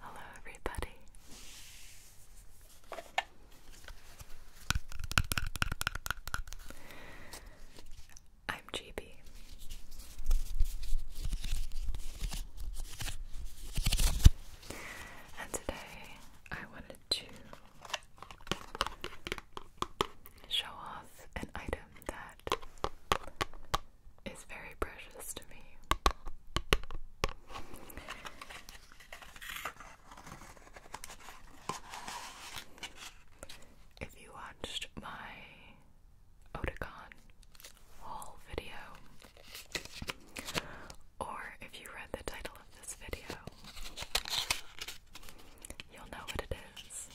Hello, everybody. I'm GB. And today I wanted to show off an item that is very precious to me. If you watched my Oticon haul video, or if you read the title of this video, you'll know what it is.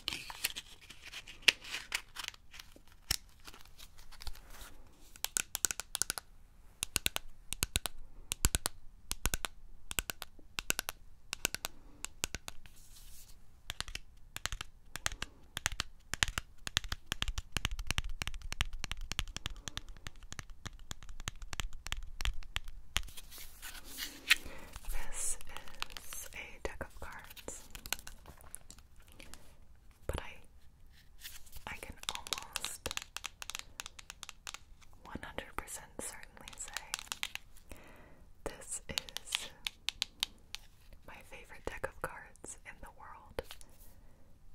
This is a deck of cards, but I I can almost 100% certainly say this is my favorite deck of cards in the world,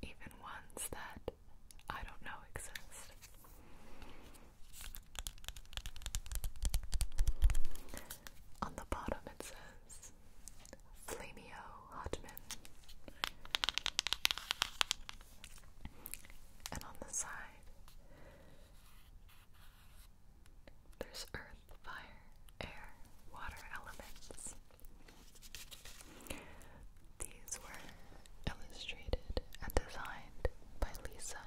even ones that I don't know exist. On the bottom it says Flamio Hotman. And on the side there's earth, fire, air, water elements. These were Illustrated and designed by Lisa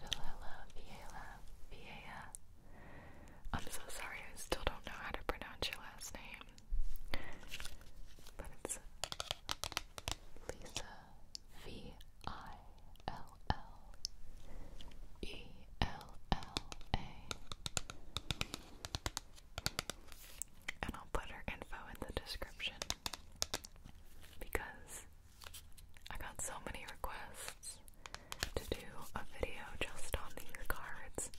Villela Viela I'm so sorry, I still don't know how to pronounce your last name. But it's Lisa V I L L E L L A. And I'll put her info in the description because I got so many requests to do a video just on these cards.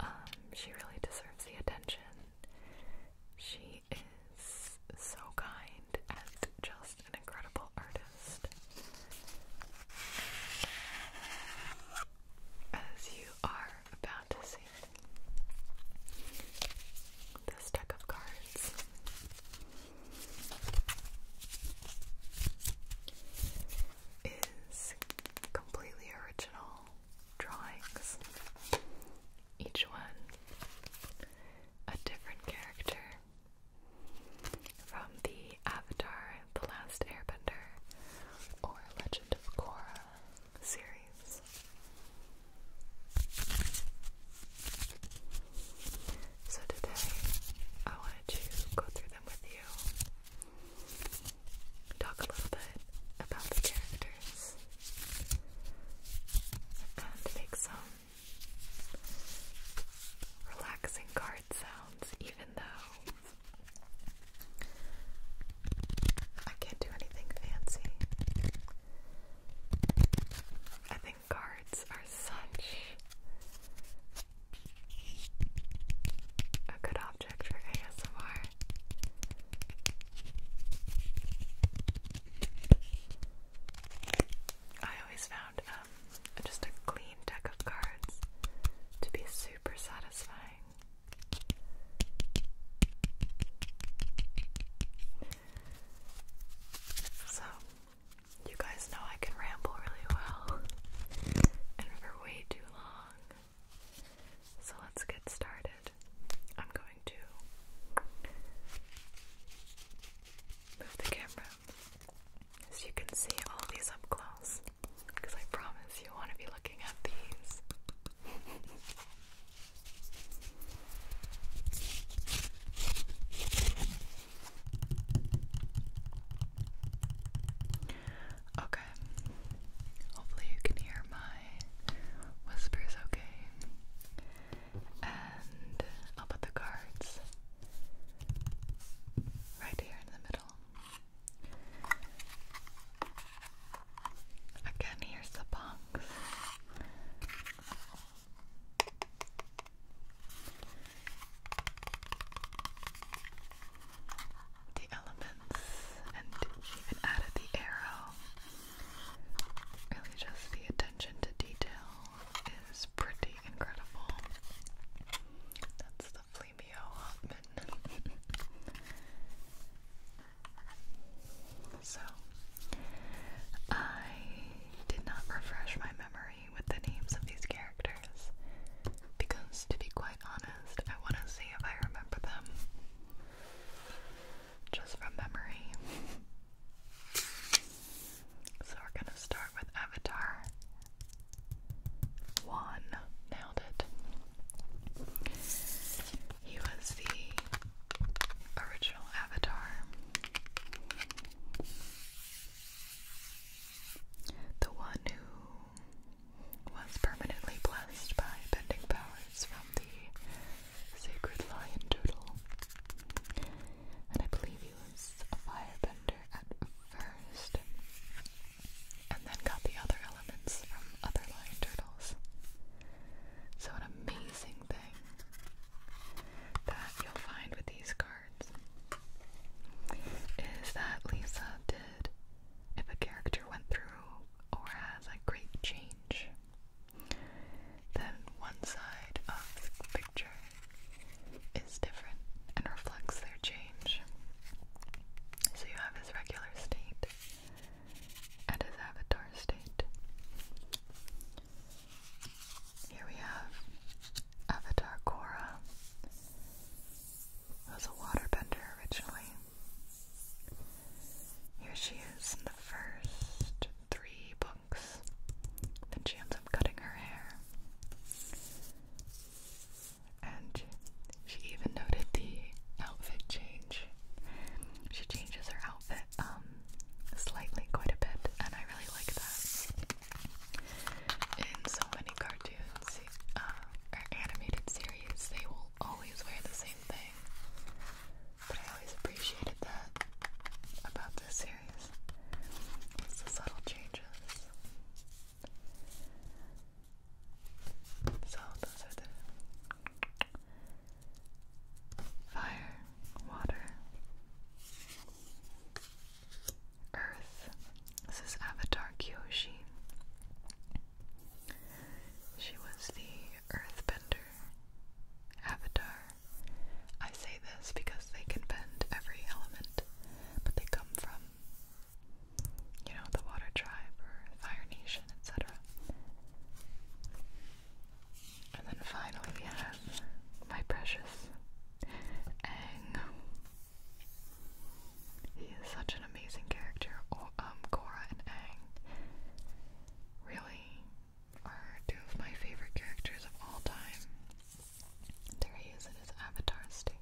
Um, she really deserves the attention. She is so kind and just an incredible artist. As you are about to see, this deck of cards. Is completely original drawings. Each one a different character from the Avatar, The Last Airbender, or Legend of Korra series. So today I wanted to go through them with you. Talk a little bit about the characters and make some relaxing card sounds, even though I can't do anything fancy. I think cards are such a good object for ASMR. I always found um, just a clean deck of cards to be super satisfying. So, you guys know I can ramble really well and for way too long. So, let's get started. I'm going to move the camera so you can see all these up close because I promise you want to be looking at these. Okay. Hopefully, you can hear my whispers okay. And I'll put the cards right here in the middle. Again, here's the box. The elements, and even added the arrow. Really, just the attention to detail is pretty incredible. That's the Flemio So, I did not refresh my memory with the names of these characters because, to be quite honest, I want to see if I remember them just from memory. So, we're going to start with Avatar 1. Nailed it. He was the original avatar. The one who was permanently blessed by bending powers from the sacred lion doodle. And I believe he was a firebender at first, and then got the other elements from other lion turtles. So an amazing thing that you'll find with these cards is that Lisa did, if a character went through or has a great change, then one side of the picture is different and reflects their change. So you have his regular state and his avatar state. Here we have Avatar Korra, was a waterbender originally. Here she is in the first three books. Then she ends up cutting her hair. And she even noted the outfit change. She changes her outfit um, slightly quite a bit and I really like that. In so many cartoons uh, or animated series they will always wear the same thing. But I always appreciated that about this series. It's the subtle changes. So those are the fire, water, earth. This is Avatar Kyoshi. She was the earthbender avatar. I say this because they can bend every element, but they come from, you know, the water tribe or fire nation, etc. And then finally we have my precious Aang. He is such an amazing character. Oh, um, Korra and Aang really are two of my favorite characters of all time. There he is in his avatar state.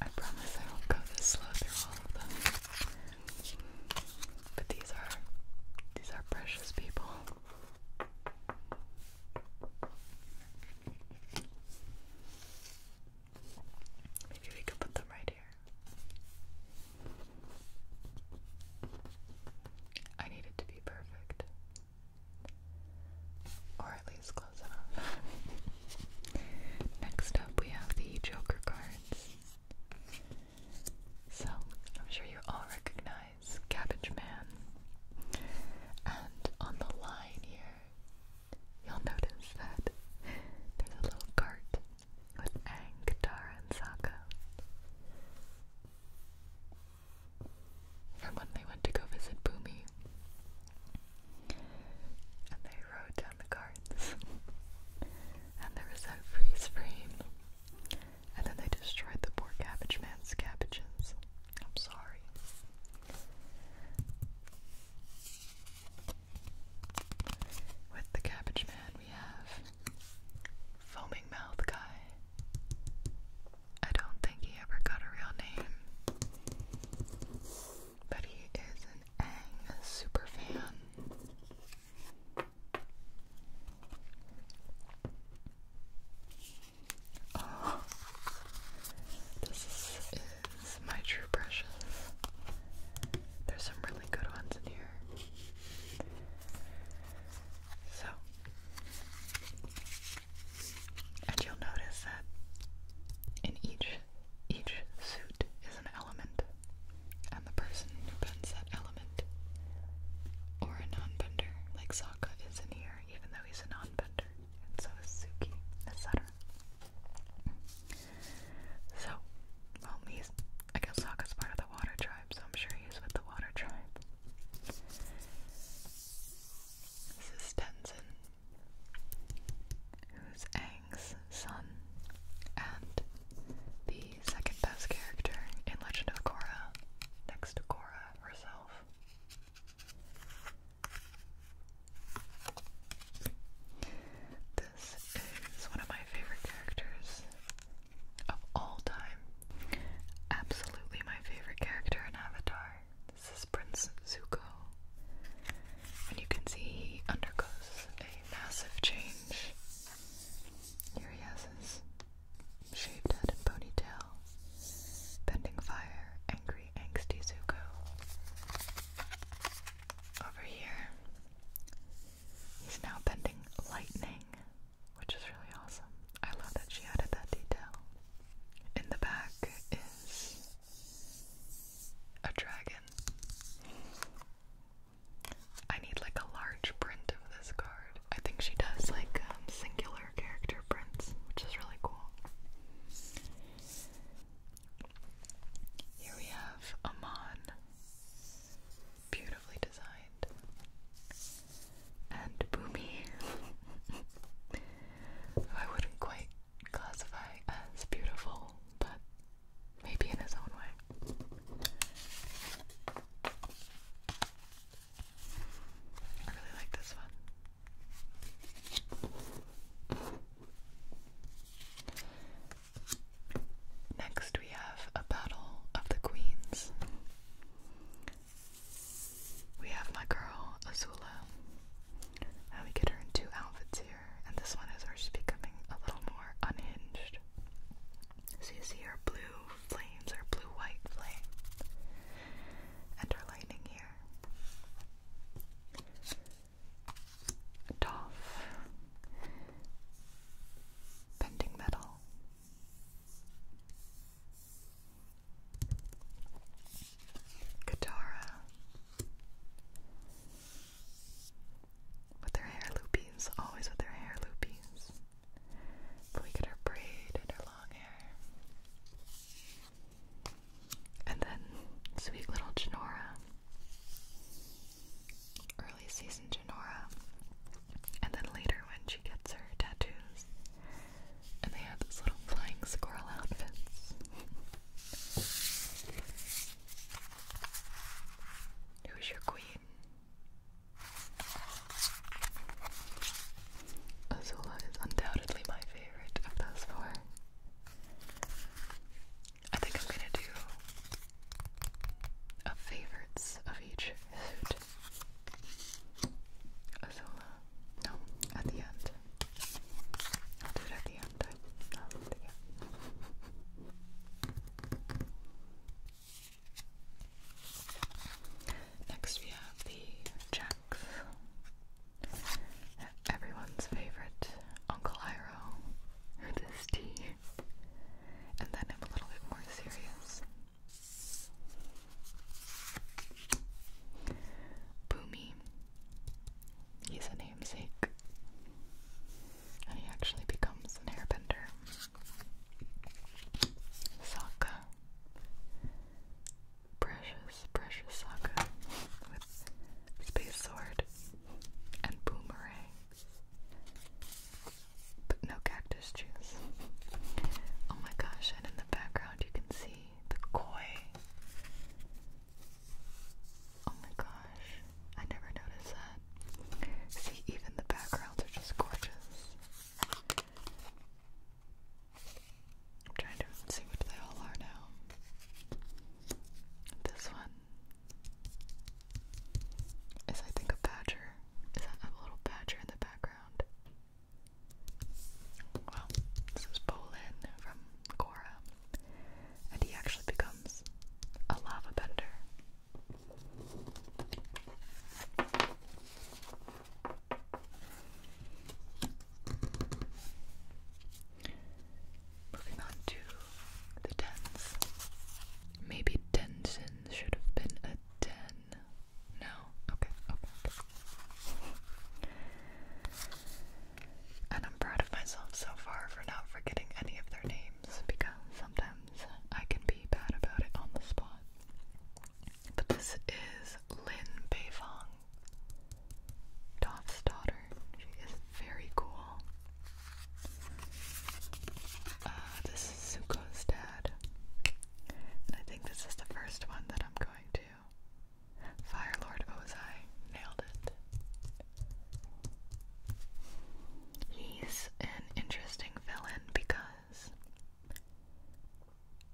I promise I won't go this slow through all of them. But these are these are precious people. Maybe we could put them right here. I need it to be perfect. Or at least close enough. Next up, we have the Joker cards. So, I'm sure you all recognize Cabbage Man. And on the line here, you'll notice that there's a little cart with Ang, Katara, and Saka, and when they went to go visit Boomy. And they rode down the carts. and there was that freeze frame and then they destroyed the poor cabbage man's cabbages. I'm sorry. With the cabbage man, we have Foaming Mouth Guy. I don't think he ever got a real name. But he is an Aang super fan this is my true precious. There's some really good ones in here. So, and you'll notice that in each each suit is an element the person who bends that element. Or a non-bender, like Sokka is in here, even though he's a non-bender, and so is Suki, etc. So, well, he's, I guess Sokka's part of the water tribe, so I'm sure he's with the water tribe. This is Tenzin, who's Aang's son, and the second best character in Legend of Korra, next to Korra herself. This is one of my favorite characters of all time. Absolutely my favorite character in Avatar. This is Prince Zuko. And you can see he undergoes a massive change here he has his shaved head and ponytail, bending fire, angry, angsty Zuko. Over here, he's now bending lightning, which is really awesome. I love that she added that detail. In the back is a dragon. I need like a large print of this card. I think she does like um, singular character prints, which is really cool. Here we have Amon, beautifully designed, and Boomy, I wouldn't quite classify as beautiful, but maybe in his own way. I really like this one. Next, we have a battle of the queens. We have my girl Azula, and we get her in two outfits here, and this one is her becoming a little more unhinged. So you see our blue flames, our blue-white flame, and her lightning here. Toff, bending metal. Katara, with her hair loopies, always with her hair loopies. But we get her braid and her long hair. And then sweet little Genora. Early season Genora. And then later when she gets her tattoos. And they have those little flying squirrel outfits. Who's your queen? Azula is undoubtedly my favorite of those four. I think I'm gonna do a favorites of each food. Azula. No, at the end. I'll do it at the end. Next we have the Jacks. Everyone's favorite Uncle Iroh with his tea. And then i a little bit more serious. Boomy. He's a namesake and he actually becomes an airbender. Sokka. Precious, precious Sokka with space sword and boomerangs. But no cactus juice. Oh my gosh, and in the background you can see the koi. Oh my gosh, I never noticed that. See, even the backgrounds are just gorgeous. I'm trying to see what they all are now. This one is, I think, a badger. Is that a little badger in the background? Well, this is Bolin from Korra, and he actually becomes a lava bender. Moving on to the tens. Maybe tension should have been a ten. No? Okay, okay, okay. And I'm proud of myself so far for not forgetting any of their names because sometimes I can be bad about it on the spot. But this is Lin Beifong, Doth's daughter. She is very cool. Uh, this is Suko's dad. And I think this is the first one that I'm going to. Fire Lord Ozai. Nailed it. He's an interesting villain because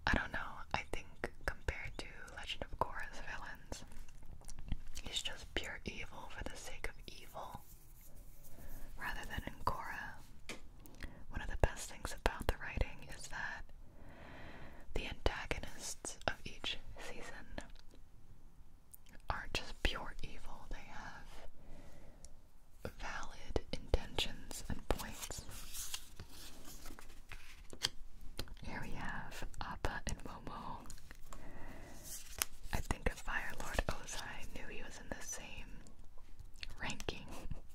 I don't know, I think compared to Legend of Korra's villains, he's just pure evil for the sake of evil. Rather than in Korra, one of the best things about the writing is that the antagonists of each season aren't just pure evil, they have valid intentions and points. Here we have Appa and Momo. I think if Fire Lord Ozai knew he was in the same ranking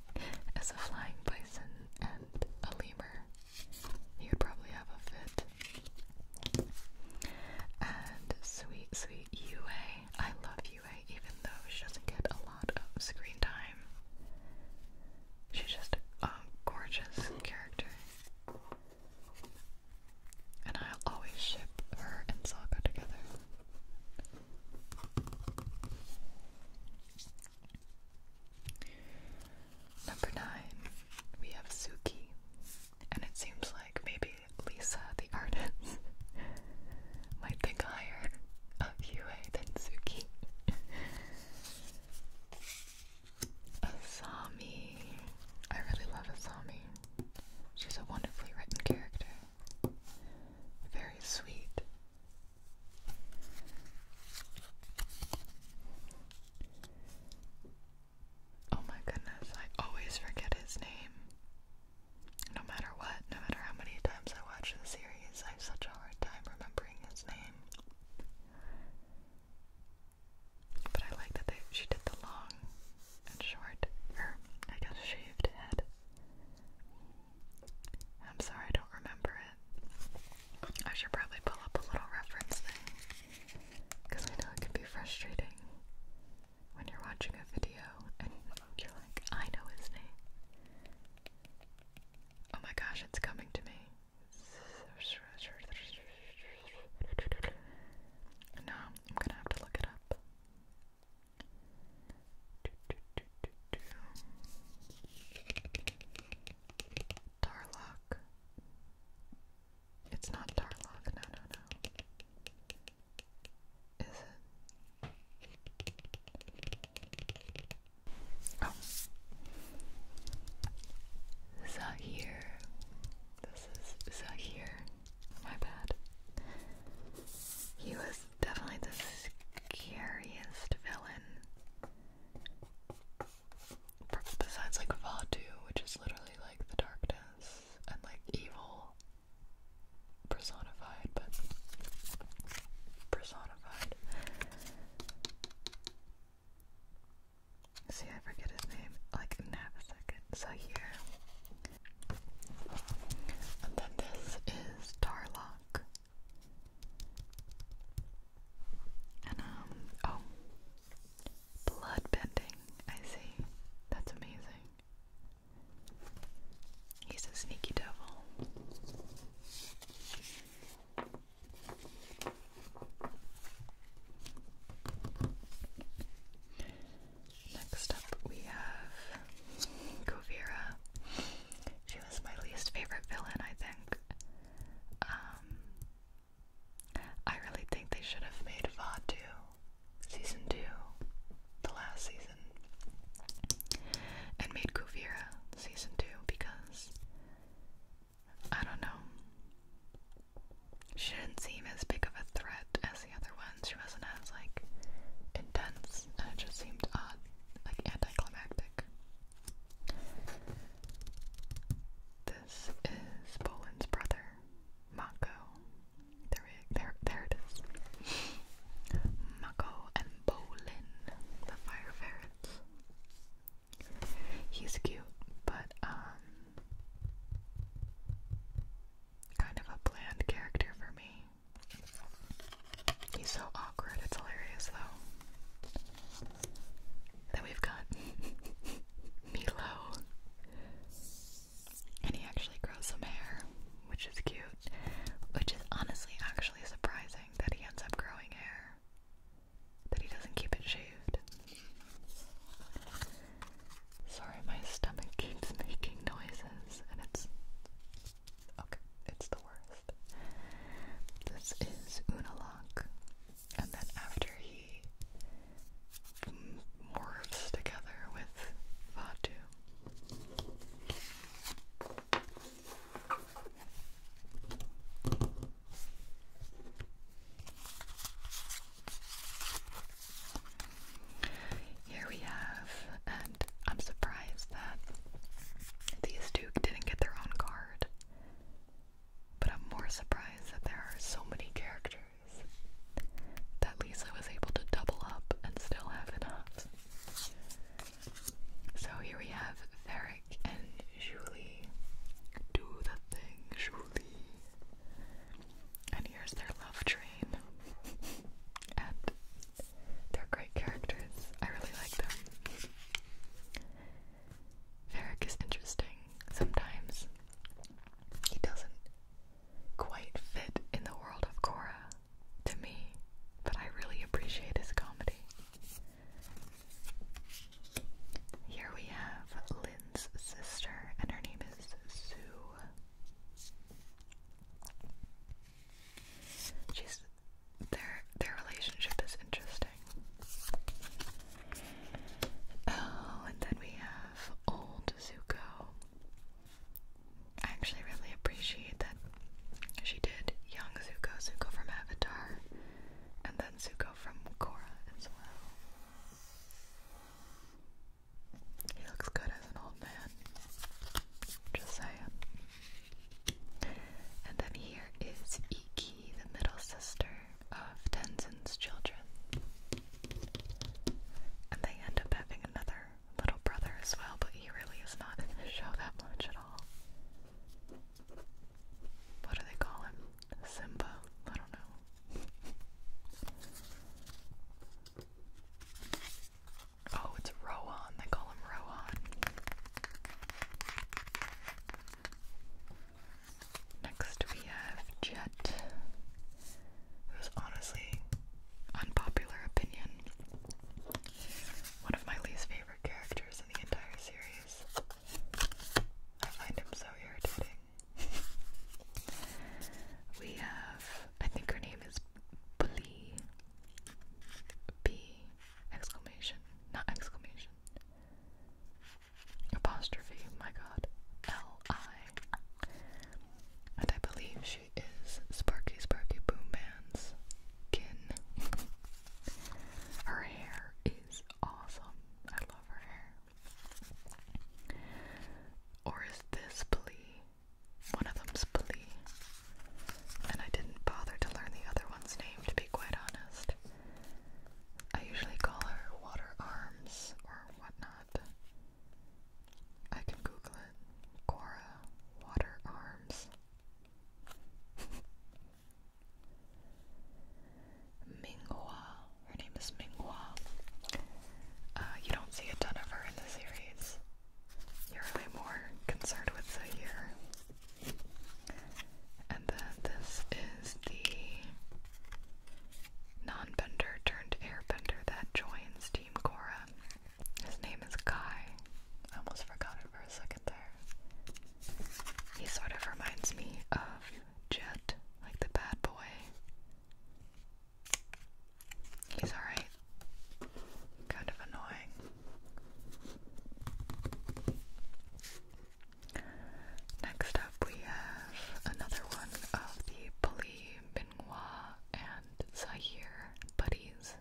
as a flying bison and a lemur, he would probably have a fit. And sweet, sweet Yue. I love Yue, even though she doesn't get a lot of screen time. She's just a gorgeous character. And I'll always ship her and Saga together. Number nine, we have Suki. And it seems like maybe Lisa, the artist, might think higher of Yue than Suki. Asami. I really love Asami. She's a wonderfully written character. Very sweet. Oh my goodness, I always forget his name. No matter what, no matter how many times I watch the series, I have such a hard time remembering his name. But I like that they, she did the long and short, or I guess shaved head. I'm sorry, I don't remember it. I should probably pull up a little reference thing because I know it could be frustrating when you're watching a video and you're like, I know his name. Oh my gosh, it's coming to me. No, I'm gonna have to look it up. Tarlock. It's not Darlock, no, no, no. Is it? Oh. Zahir. This is Zahir. My bad. He was definitely the scariest villain. Besides, like, Vatu, which is literally like the darkness and like evil personified, but personified. See, I forget his name like in a second. So here, and then this is Tarlock, and um, oh, Blood bending. I see. That's amazing. He's a sneaky devil. Next up, we have Govira. She was my least favorite villain, I think. Um, I really think they should have made VOD Season 2, the last season, and made Kuvira Season 2 because, I don't know, she didn't seem as big of a threat as the other ones. She wasn't as, like, intense, and it just seemed odd, like anticlimactic. This is Bolin's brother. Mako. There, it, there, there it is. Mako and Bolin, the fire ferrets. He's cute, but um, kind of a bland character for me. He's so awkward. It's hilarious, though. Then we've got Milo. And he actually grows some hair, which is cute. Which is honestly actually surprising that he ends up growing hair. That he doesn't keep it shaved. Sorry, my stomach keeps making noises and it's. Okay, it's the worst. This is Unalak and then after he morphs together with Vatu. Here we have, and I'm surprised that these two didn't get their own card. But I'm more surprised that there are so many characters that Lisa was able to double up and still have enough. So here we have Varric and Julie. Do the thing, Julie. And here's their love train. and they're great characters. I really like them. Varric is interesting sometimes. He doesn't quite fit in the world of Cora, to me, but I really appreciate his comedy. Here we have Lynn's sister, and her name is Sue. She's their their relationship is interesting. Oh, and then we have old Zuko. I actually really appreciate that she did young Zuko, Zuko from Avatar, and then Zuko from Korra as well. He looks good as an old man. Just saying. And then here is Iki, the middle sister of Tenzin's children. And they end up having another little brother as well, but he really is not in the show that much at all. What do they call him? Simba? I don't know. Oh, it's Rohan. They call him Rohan. Next we have Jet, who's honestly unpopular opinion. One of my least favorite characters in the entire series. I find him so irritating. we have, I think her name is Blee. B exclamation, not exclamation apostrophe, my god, L-I. And I believe she is Sparky Sparky Boom Band's kin. her hair is awesome. I love her hair. Or is this Blee? One of them's Blee. And I didn't bother to learn the other one's name, to be quite honest. I usually call her water arms or whatnot. I can Google it. Cora water arms. Minghua. Her name is Minghua. Uh, you don't see a ton of her in the series. You're really more concerned with Zahir. And then this is the non-bender turned airbender that joins Team Korra. His name is Kai. I almost forgot it for a second there. He sort of reminds me of Jet, like the bad boy. He's alright. Kind of annoying. Next up, we have another one of the Pali Binghua and Zahir buddies.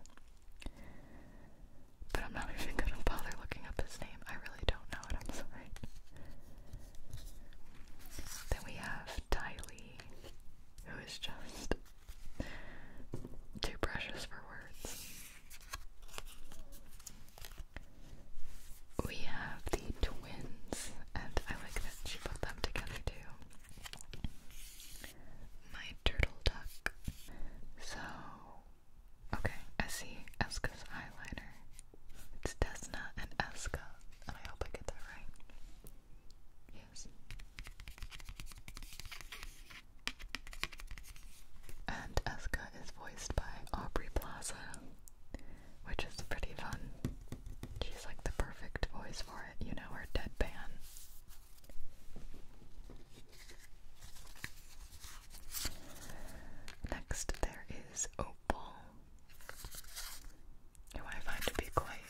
But I'm not even gonna bother looking up his name. I really don't know it, I'm sorry. Then we have Tylee, who is just too precious for words. We have the twins, and I like that she put them together too. My turtle duck. So, okay, Essie Eska's eyeliner. It's Desna and Eska, and I hope I get that right. Yes. And Eska is voiced by Aubrey Plaza, which is pretty fun. She's like the perfect voice for it, you know, her deadpan. Next, there is Opal, who I find to be quite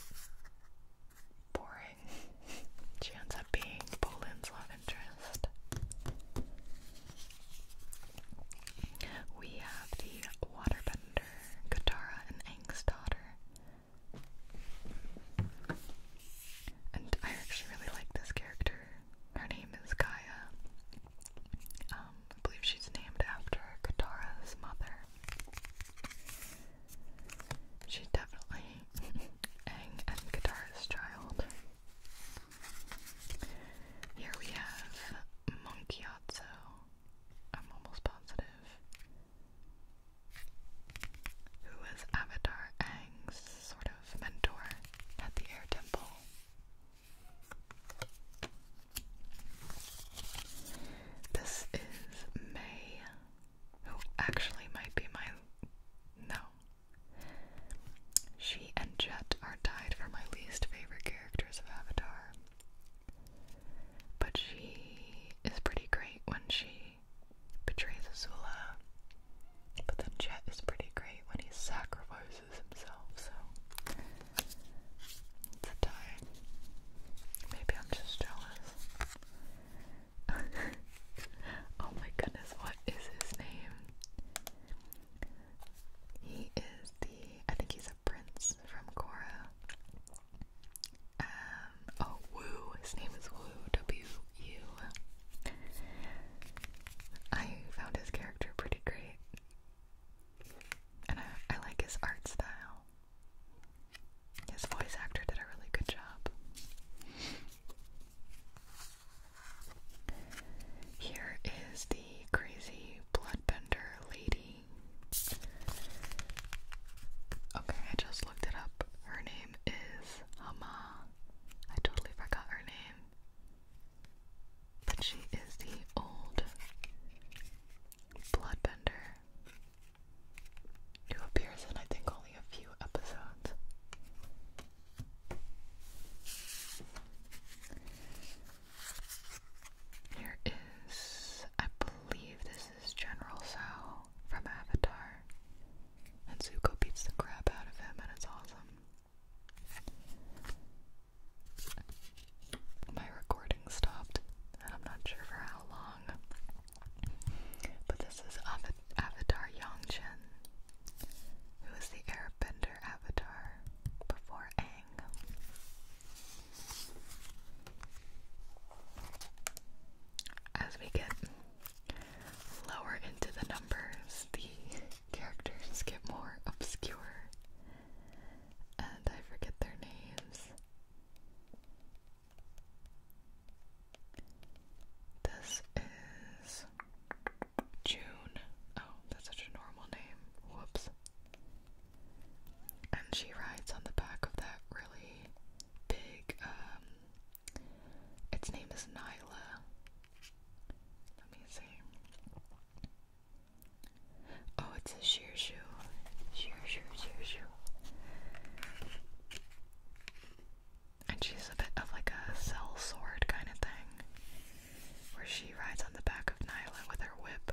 boring. she ends up being Poland's love interest. We have the Waterbender, Katara, and Ang's daughter. And I actually really like this character. Her name is Gaia. Um, I believe she's named after Katara's mother. She's definitely Ang and Katara's child. Here we have Monkeyatsu. I'm almost positive. Who was Avatar Aang's sort of mentor at the Air Temple? This is May, who actually might be my. No. She and Jet are tied for my least favorite characters of Avatar. But she is pretty great when she betrays Azula. But then Jet is pretty great when he sacrifices himself, so it's a tie. Maybe I'm just jealous. oh my goodness, what is his name? He is the, I think he's a prince from Korra. Um, oh, Woo. His name is Wu W-U. I found his character pretty great. And I like his art style. His voice actor did a really good job. Here is the crazy bloodbender lady. Okay, I just looked it up. Her name is Hama. I totally forgot her name. But she is the old bloodbender who appears in I think only a few episodes. Here is, I believe this is General Sao from Avatar. And Zuko beats the crap out of him, and it's awesome. My recording stopped, and I'm not sure for how long. But this is Avatar Yangchen who is the Airbender avatar before Aang. As we get lower into the numbers, the characters get more obscure, and I forget their names. This is June. Oh, that's such a normal name. Whoops. And she rides on the back of that really big, um, its name is Nyla. Let me see. Oh, it's a sheer shoe. Sheer, sheer, sheer And she's a bit of like a cell sword kind of thing where she rides on the back of Nyla with her whip.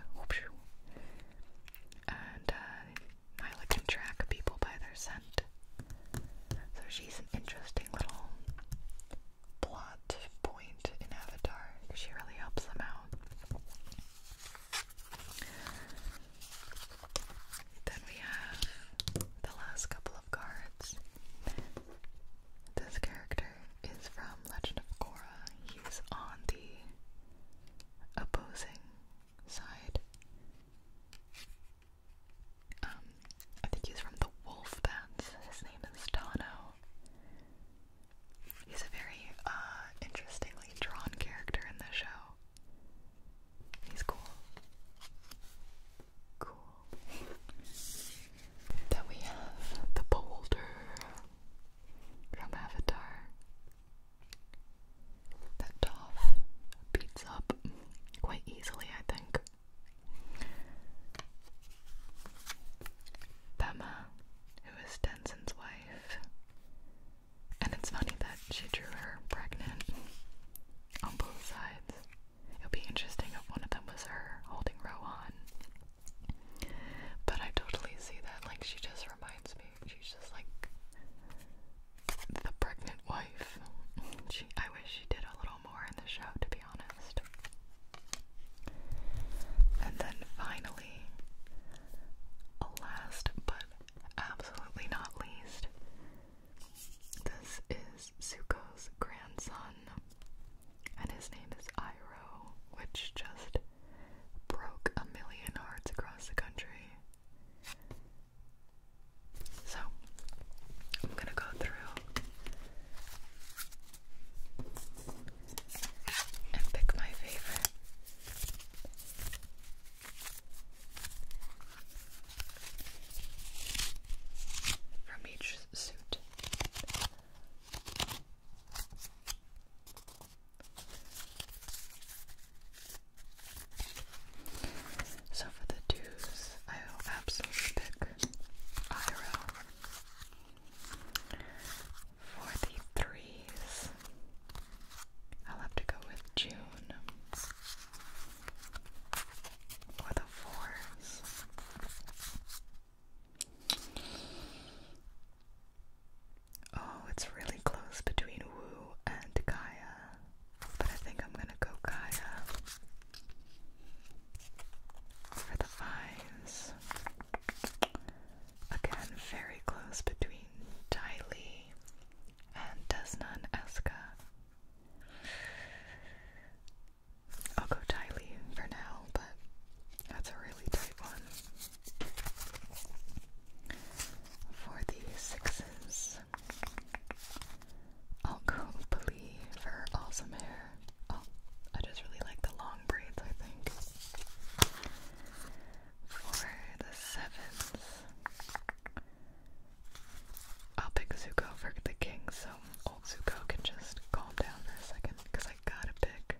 And uh, Nyla can track people by their scent. So she's an interesting little plot point in Avatar. She really helps them out. Then we have the last couple of cards. This character is from Legend of Korra. He's on the opposing side. Um, I think he's from the Wolf Bats. His name is Tano. He's a very uh, interestingly drawn character in the show. He's cool cool. then we have the boulder from Avatar that Toph beats up quite easily, I think. Bema, who is Denzin's wife, and it's funny that she drew her pregnant on both sides. It would be interesting if one of them was her holding Rowan. But I totally see that. Like, she just reminds me. She's just like the pregnant wife. I wish she did a little more in the show, to be honest. And then finally, last but absolutely not least, this is Zuko's grandson and his name is Iro, which just broke a million hearts across the country. So, I'm gonna go through and pick my favorite. From each suit. So for the twos, I will absolutely pick Iroh. For the threes, I'll have to go with June. For the Oh, it's really close between Wu and Gaia, but I think I'm gonna go Gaia for the fives. Again, very close between Tylee and Desna and Eska. I'll go Tylee for now, but that's a really tight one. For the sixes, I'll go Billy for awesome hair. Oh, I just really like the long braids, I think. For the sevens, I'll pick Zuko for the king, so so old Zuko can just calm down for a second because I gotta pick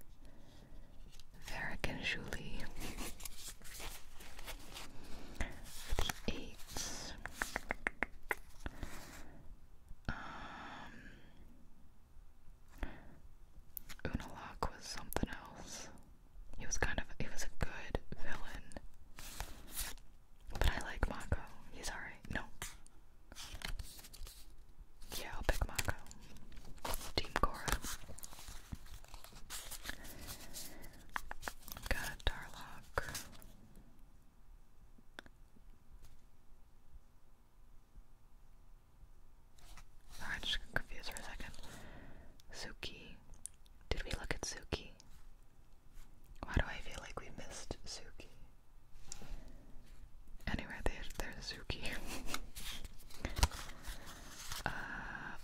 Varric and Julie. For Um Unalak was something else. He was kind of he was a good villain. But I like Mako. He's alright. No. Yeah, I'll pick Mako. Team Cora. Got Darlock. i just confused for a second. Suki. Did we look at Suki? Why do I feel like we missed Suki? Anyway, there, there's Suki. Uh,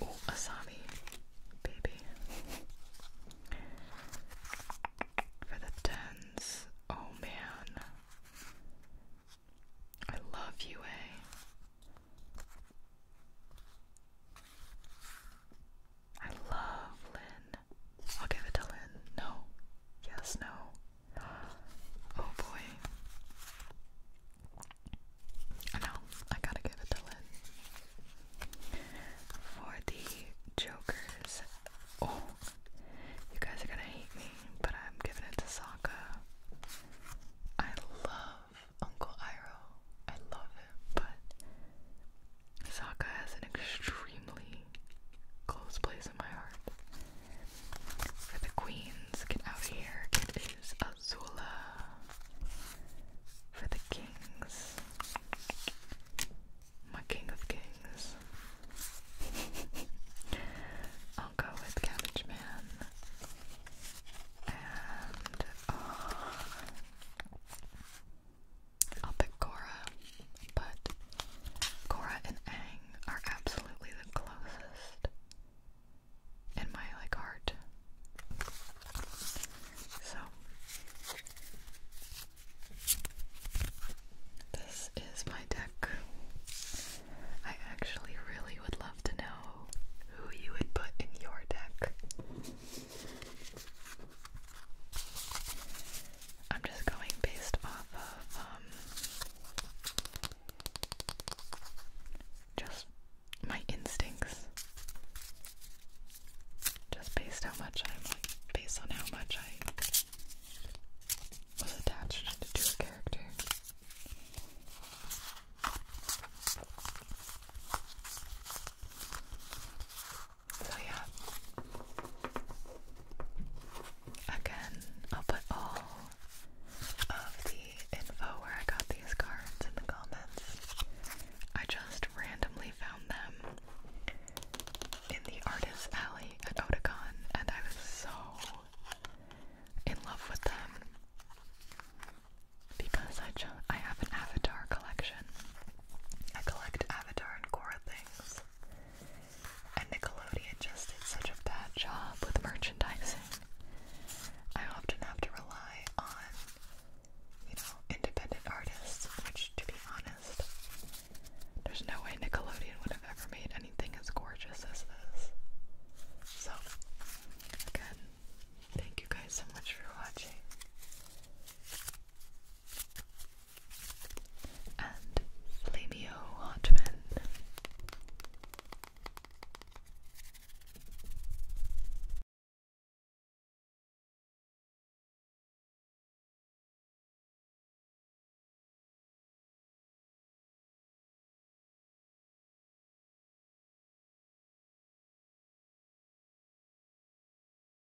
oh, Asami. Baby. For the tens. Oh man. I love you, eh? I love Lin. I'll give it to Lynn. No. Yes, no. Oh boy. No, I gotta give it to Lynn. For the Jokers. Oh, you guys are gonna hate me, but I'm giving it to Sokka. I love Uncle Iroh. I love it, but Sokka has an extremely close place in my heart. For the queens, get out here. get It is Azula. For the kings, my king of kings. I'll go with Cabbage And, uh, I'll pick Korra, but Korra and Ang are absolutely the closest in my like heart. So this is my deck. I actually really would love to know who you would put in your deck. I'm just going based off of um, just my instincts. Just based how much I'm like, based on how much I was attached to a character. So yeah. Again, I'll put all of the info where I got these cards in the comments. I just randomly found them in the artist's alley at Oticon, and I was so in love with them because I just I have an Avatar collection. I collect Avatar and Korra and Nickelodeon just did such a bad job with merchandising. I often have to rely on, you know, independent artists, which, to be honest, there's no way Nickelodeon would have ever made anything as gorgeous as this. So, again, thank you guys so much for watching and Flavio Hartman.